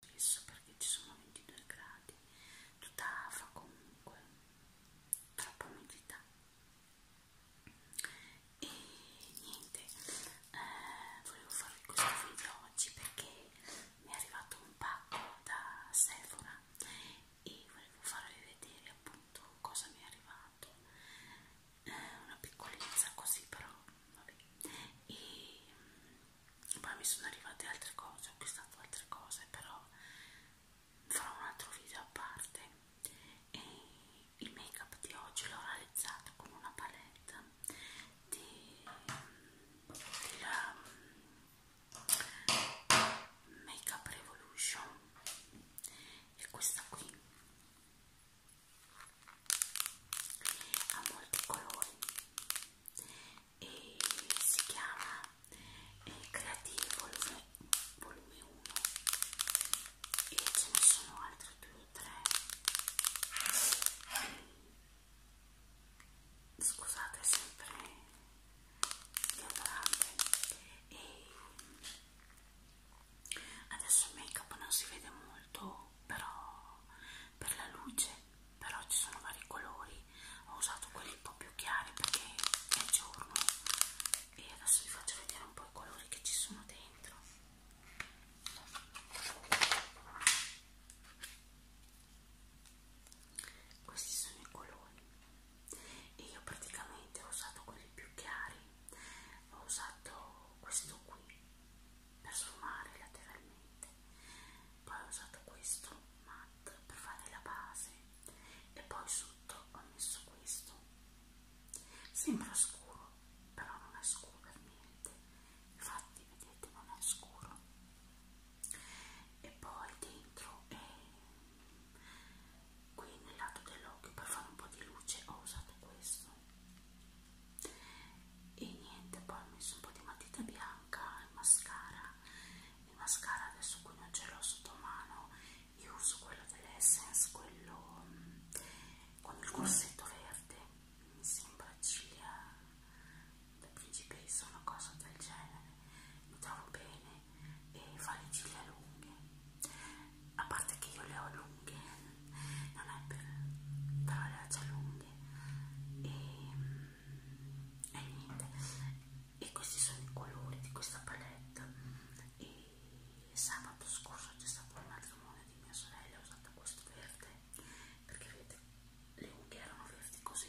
spesso perché ci sono 22 gradi tutta fa comunque troppa umidità e niente eh, volevo farvi questo video oggi perché mi è arrivato un pacco da Sephora e volevo farvi vedere appunto cosa mi è arrivato eh, una piccolezza così però vabbè e mm, poi mi sono arrivate altre cose, ho acquistato altre cose, però farò un altro video a parte. E il make up di oggi l'ho realizzato con una palette di, della mm, Make Up Revolution e questa qui ha molti colori e si chiama eh, Creative volume, volume 1 e ce ne sono altri due o tre scusate sempre le grande e adesso il make up non si vede molto però per la luce però ci sono vari colori ho usato quelli un po' più chiari perché è giorno e adesso vi faccio vedere un po' i colori che ci sono dentro questi sono i colori e io praticamente ho usato quelli più chiari ho usato questo qui per sfumare lateralmente poi ho usato questo matte per fare la base e poi sotto ho messo questo sembra scuro però non è scuro per niente infatti vedete non è scuro e poi dentro è qui nel lato dell'occhio per fare un po' di luce ho usato questo e niente poi ho messo un po' di matita bianca e mascara il mascara adesso qui non ce l'ho sotto mano io uso quello dell'essence quello mm, con il corsetto verde mi sembra ciglia da principessa una cosa del genere mi trovo bene e fa le ciglia lunghe a parte che io le ho lunghe non è per però le ho già lunghe grande e, e niente e questi sono i colori di questa palette e sabato scorso c'è stato un matrimonio di mia sorella ho usato questo verde perché vedete le unghie erano verdi così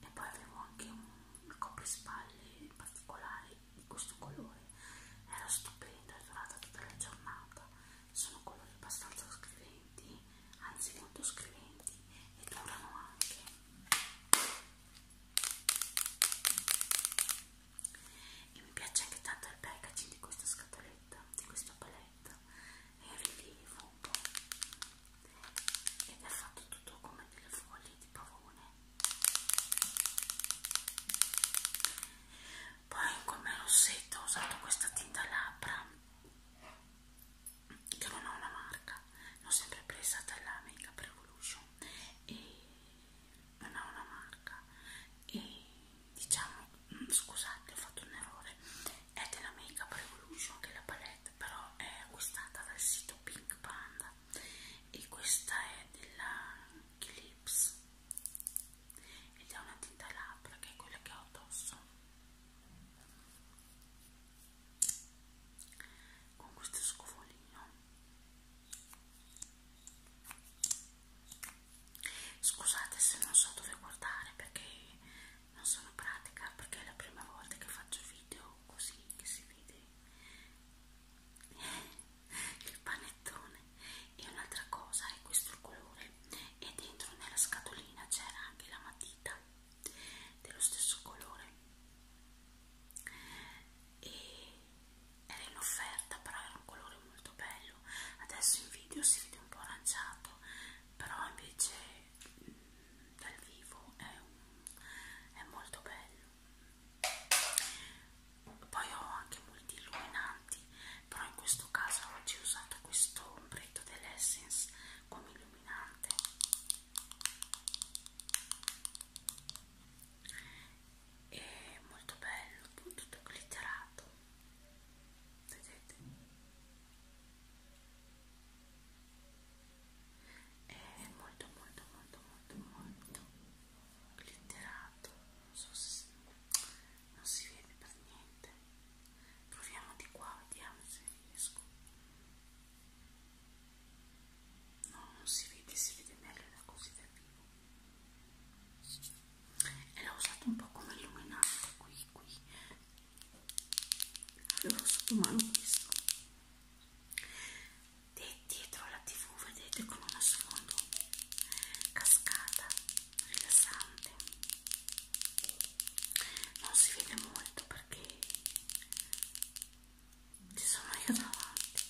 e poi avevo anche un coprispalle particolare di questo colore era stupendo, è durata tutta la giornata sono colori abbastanza scriventi, anzi molto scriventi e durano anche. E mi piace anche tanto il packaging di questa scatoletta, di questa paletta, è in rilievo un po' ed è fatto tutto come delle foglie di pavone. Poi come rossetto ho usato questa tinta labbra che non ho una marca l'ho sempre presa dalla Makeup Revolution e non ho una marca e diciamo mm, scusate ho fatto un errore è della Makeup Revolution che è la palette però è acquistata dal sito Pink Panda e questa è della Clips ed è una tinta labbra che è quella che ho addosso con questo scovolino scusate se non so dove guardare perché non sono pratica perché è la prima volta che faccio video così che si vede il panettone e un'altra cosa è questo il colore e dentro nella scatolina c'era anche la matita dello stesso colore e era in offerta però era un colore molto bello adesso in video si vede un po' aranciato però invece mm, dal vivo è, un, è molto bello poi ho anche molti illuminanti però in questo caso oggi ho usato questo ombretto dell'Essence come illuminante è molto bello tutto glitterato vedete è molto molto molto molto molto glitterato non so se non si vede per niente proviamo di qua vediamo se riesco no non si vede si vede meglio da così da vivo e l'ho usato un po' come illuminante qui qui avevo sotto mano questo De dietro la tv vedete con uno sfondo cascata rilassante non si vede molto perché ci sono io davanti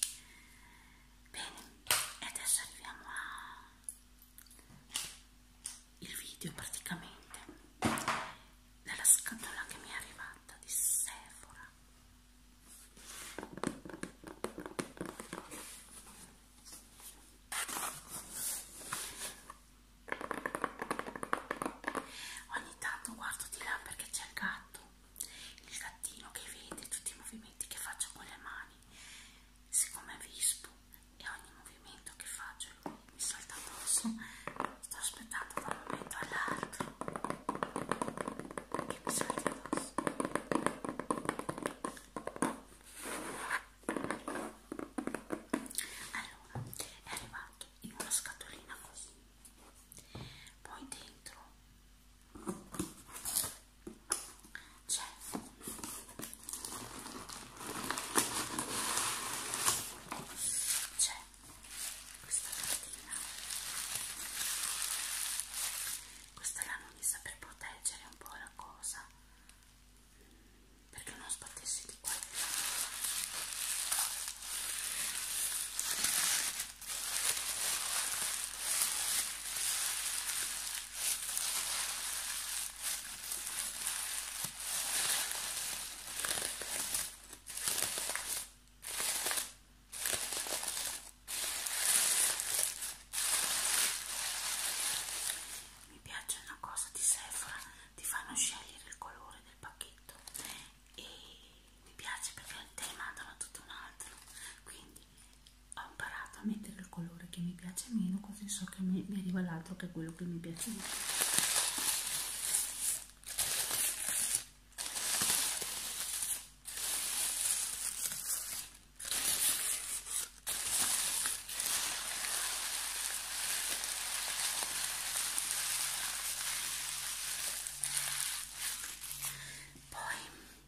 bene e adesso arriviamo a il video praticamente della scatola che mi è arrivata di Sephora Ogni tanto guardo di là perché c'è il gatto, il gattino che vede tutti i movimenti che faccio con le mani, siccome vispo e ogni movimento che faccio lui mi salta addosso, sto aspettando da un momento all'altro che mi salti addosso. Allora, è arrivato in una scatolina così, poi dentro c'è c'è questa cartina questa l'hanno messa per proteggere un po' la cosa perché non sbattessi di qua mi piace una cosa di Sephora, ti fanno scegliere il colore del pacchetto e mi piace perché te ne mandano tutto un altro, quindi ho imparato a mettere il colore che mi piace meno, così so che mi, mi arriva l'altro che è quello che mi piace meno. Poi,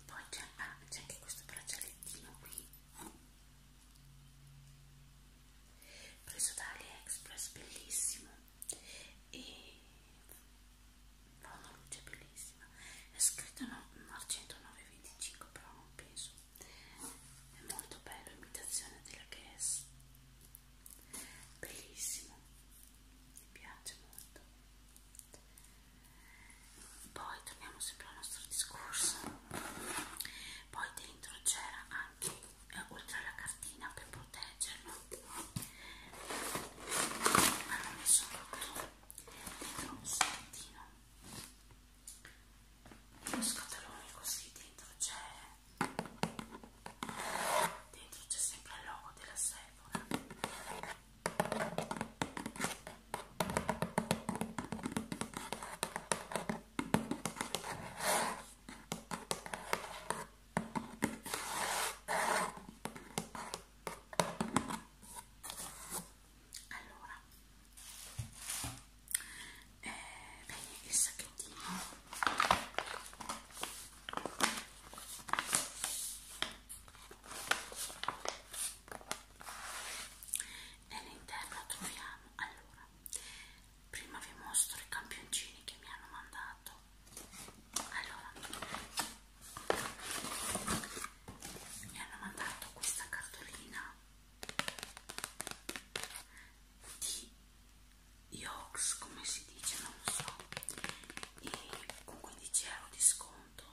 poi c'è ah, anche questo braccialettino qui preso da AliExpress, bellissimo e fa una luce bellissima. È scritto no, 109,25 però non penso è molto bello imitazione della Guess bellissimo mi piace molto poi torniamo sempre al nostro discorso poi dentro c'era anche eh, oltre alla cartina per proteggerlo hanno messo tutto dentro un sacchettino uno scatolone così dentro c'è dentro c'è sempre il logo della Sephora allora eh, bene il sacchettino nell'interno troviamo allora prima vi mostro i campioncini che mi hanno mandato allora mi hanno mandato questa cartolina di Yox come si dice non lo so e con 15 euro di sconto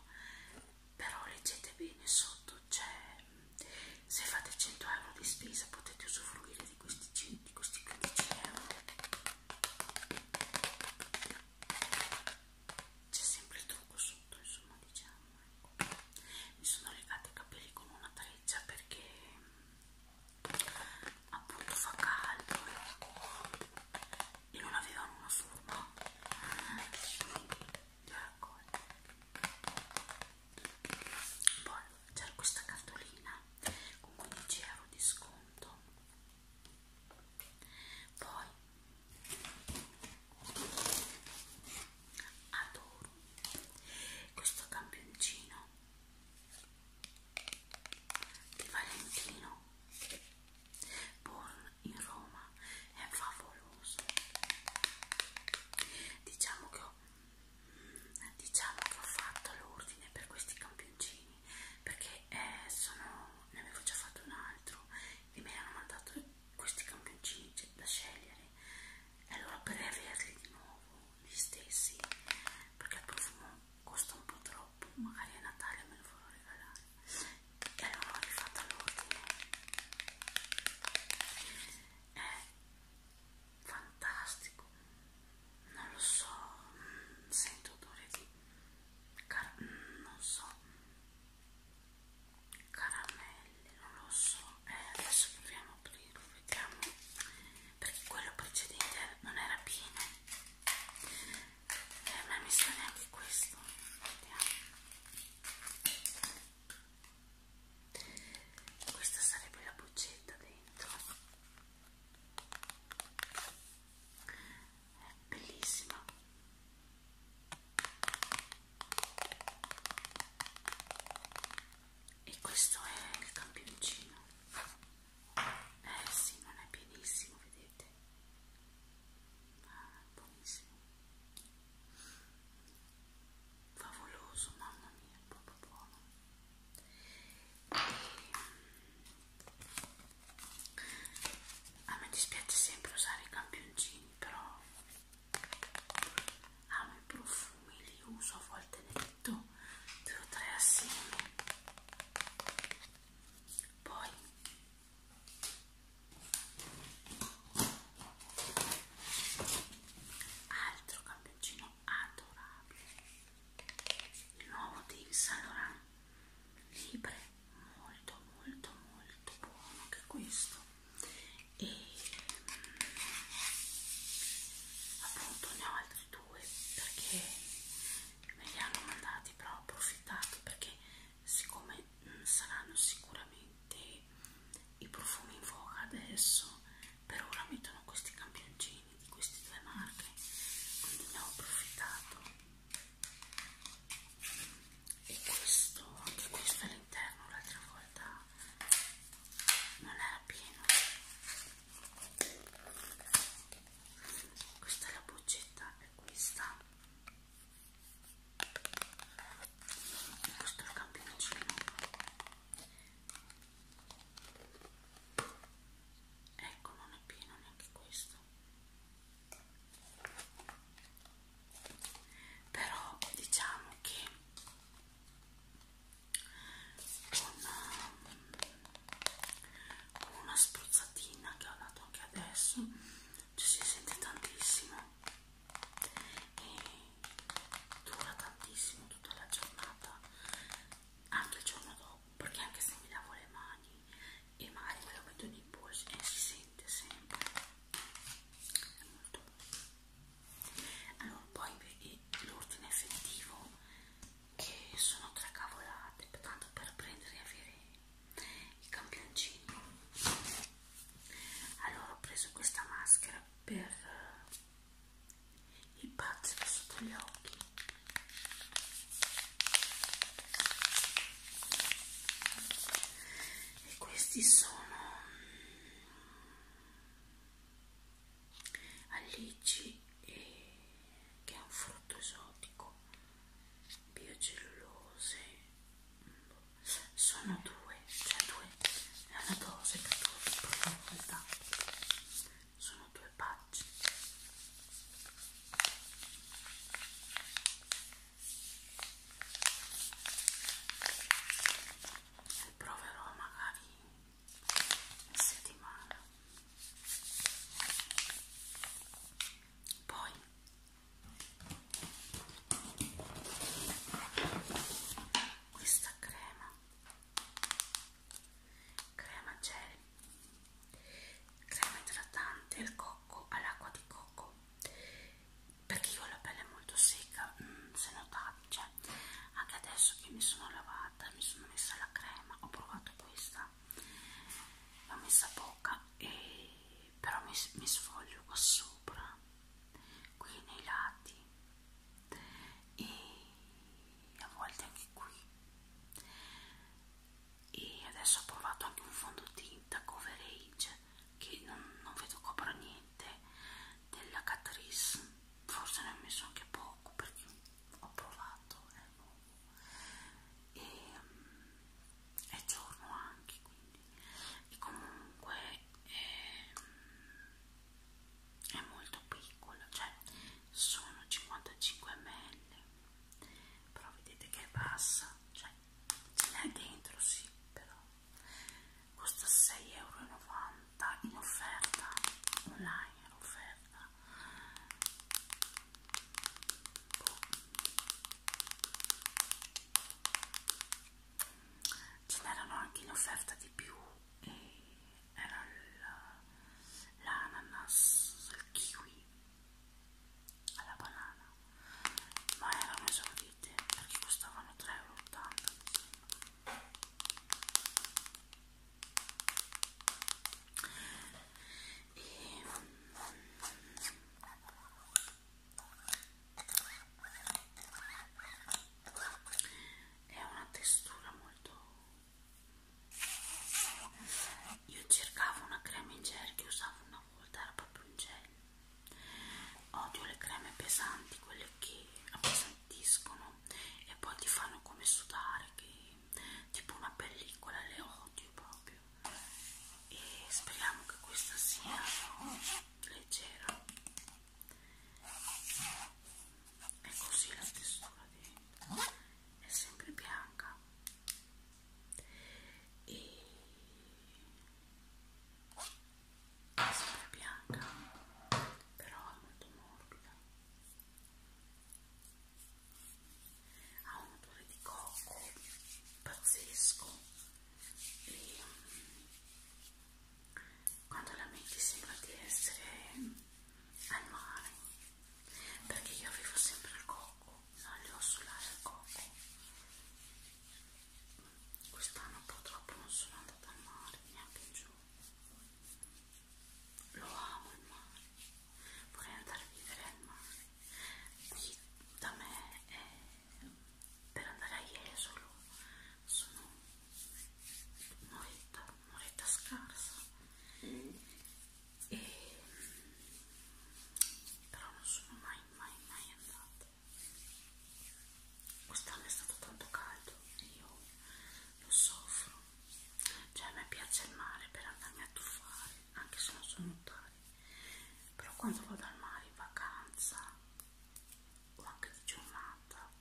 però leggete bene sotto c'è cioè, se fate 100 euro di spesa potete usufruire di questi, di questi 15 euro c'è sempre il trucco sotto insomma diciamo ecco. mi sono legata i capelli con una treccia perché mm, appunto fa caldo ecco. e non avevano una forma quindi li ho raccolti poi c'era questa cartolina con 15 euro di sconto poi adoro questo campioncino di Valentino Born in Roma è favoloso diciamo che ho, diciamo che ho fatto l'ordine per questi campioncini perché eh, sono, ne avevo già fatto un altro e me l'hanno mandato questi campioncini c'è da scegliere e allora per averli di nuovo gli stessi perché il profumo costa un po' troppo magari a Natale me lo farò regalare e allora ho rifatto l'ordine è fantastico non lo so mm, sento odore di car mm, non so caramelle non lo so eh, adesso proviamo a aprirlo vediamo perché quello precedente non era pieno eh, ma mi sa neanche questo vediamo questa sarebbe la boccetta dentro è bellissima e questo è il campioncino eh sì non è pienissimo vedete ah, è buonissimo favoloso mamma mia proprio buono e, a me dispiace sempre usare i campioncini però Amo ah, i profumi, li uso a volte ne metto due o tre assieme. Poi altro campioncino adorabile. Il nuovo di Saint Laurent, libre molto molto molto buono che questo e mm, appunto ne ho altri due perché me li hanno mandati però ho approfittato perché siccome mm, saranno sicuramente i profumi in voga adesso per ora mettono questi campioncini di queste due marche quindi ne ho approfittato e questo anche questo all'interno l'altra volta non era pieno questa è la boccetta e questa e questo è il campioncino ecco non è pieno neanche questo però diciamo che con una spruzzatina che ho dato anche adesso ci si sente tantissimo e dura tantissimo tutta la giornata anche il giorno dopo perché anche se mi lavo le mani e magari me lo metto nei polsi e eh, si sente sempre è molto allora poi l'ordine effettivo che sono tre cavolate tanto per prendere e avere i campioncini allora ho preso questa maschera per eh, il pazzo sotto gli occhi e questi sono mm, allici e che è un frutto esotico biocellulose mm, sono due cioè due è una dose che tu provi volta sono due pacce e proverò magari in settimana poi questa crema crema gel crema idratante al cocco all'acqua di cocco perché io ho la pelle molto secca mm, se notate cioè, anche adesso che mi sono lavata mi sono messa la crema ho provato questa l'ho messa poca e però mi, mi sfoglio qua sopra qui nei lati e a volte anche qui e adesso ho provato anche un fondotinta coverage che non, non vedo copra niente della Catrice forse ne ho messo anche poco perché ho provato è nuovo e um, è giorno anche quindi e comunque è, ehm, è molto piccola cioè sono 55 ml però vedete che è bassa cioè ce n'è dentro sì però costa 6,90 euro in offerta online in offerta boh. ce n'erano anche in offerta di più e era l'ananas il kiwi alla banana ma erano esaurite perché costavano 3,80 euro e è una textura molto io cercavo una crema in gel che usavo una volta era proprio in gel odio le creme pesanti quelle che appesantiscono e poi ti fanno come sudare che tipo una pellicola le odio proprio e speriamo che questa sia leggera è così la textura dentro è sempre bianca e questa è bianca però è molto morbida ha un odore di cocco pazzesco e mm, quando la metti sembra di essere al mare perché io avevo sempre il cocco un olio solare al coco quest'anno purtroppo non sono andata al mare neanche in giù lo amo il mare vorrei andare a vivere al mare qui da me è, per andare a Jesolo sono un'oretta un'oretta scarsa mm e... però non sono mai mai mai andata quest'anno è stato tanto caldo e io lo soffro cioè a me piace il mare per andarmi a tuffare anche se non so nuotare però quando vado al mare in vacanza o anche di giornata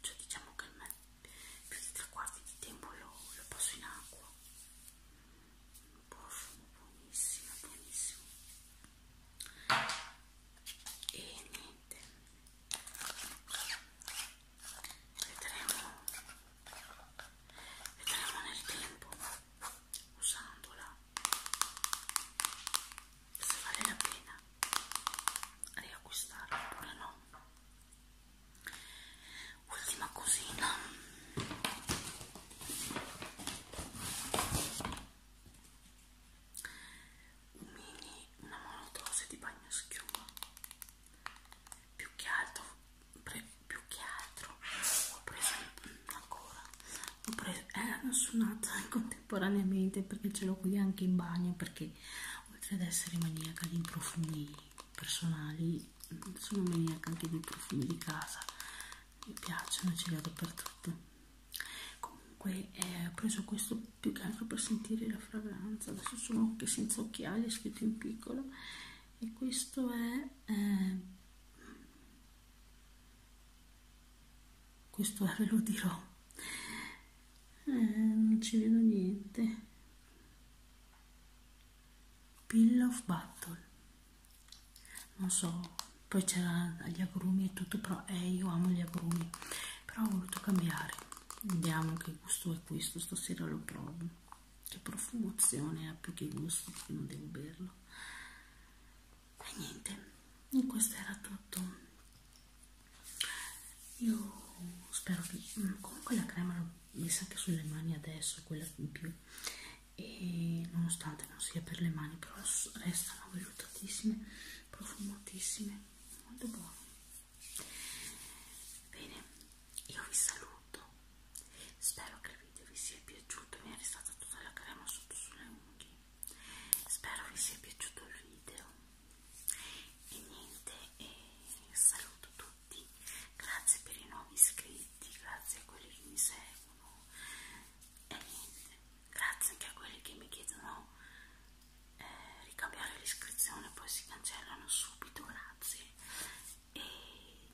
cioè diciamo che me più di tre quarti di tempo lo, lo passo in acqua un profumo buonissimo buonissimo e niente vedremo vedremo nel tempo usandola se vale la pena riacquistarla oppure no ultima cosina un mini una monodose di bagno schiuma più che altro pre, più che altro ho preso ancora ho preso erano eh, suonata contemporaneamente perché ce l'ho qui anche in bagno perché oltre ad essere maniaca di profumi personali sono maniaca anche dei profumi di casa mi piacciono ce li ho dappertutto comunque eh, ho preso questo più che altro per sentire la fragranza adesso sono anche senza occhiali è scritto in piccolo e questo è eh, questo è ve lo dirò eh, non ci vedo niente Pill of Battle non so poi c'era gli agrumi e tutto però eh, io amo gli agrumi però ho voluto cambiare vediamo che gusto è questo stasera lo provo che profumazione ha più che gusto perché non devo berlo e niente questo era tutto io spero che mm, comunque la crema l'ho messa anche sulle mani adesso quella in più e nonostante non sia per le mani però restano vellutatissime profumatissime molto buone bene io vi saluto spero che il video vi sia piaciuto mi è restata tutta la crema sotto sulle unghie spero vi sia piaciuto il video e niente e saluto tutti tutti, grazie per i nuovi iscritti, grazie a quelli che mi seguono e niente, grazie anche a quelli che mi chiedono eh, ricambiare l'iscrizione poi si cancellano subito, grazie e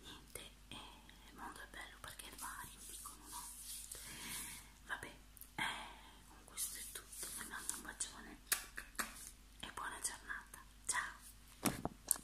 niente, e eh, il mondo è bello perché vai, dicono no vabbè, eh, con questo è tutto, vi mando un bacione e buona giornata, ciao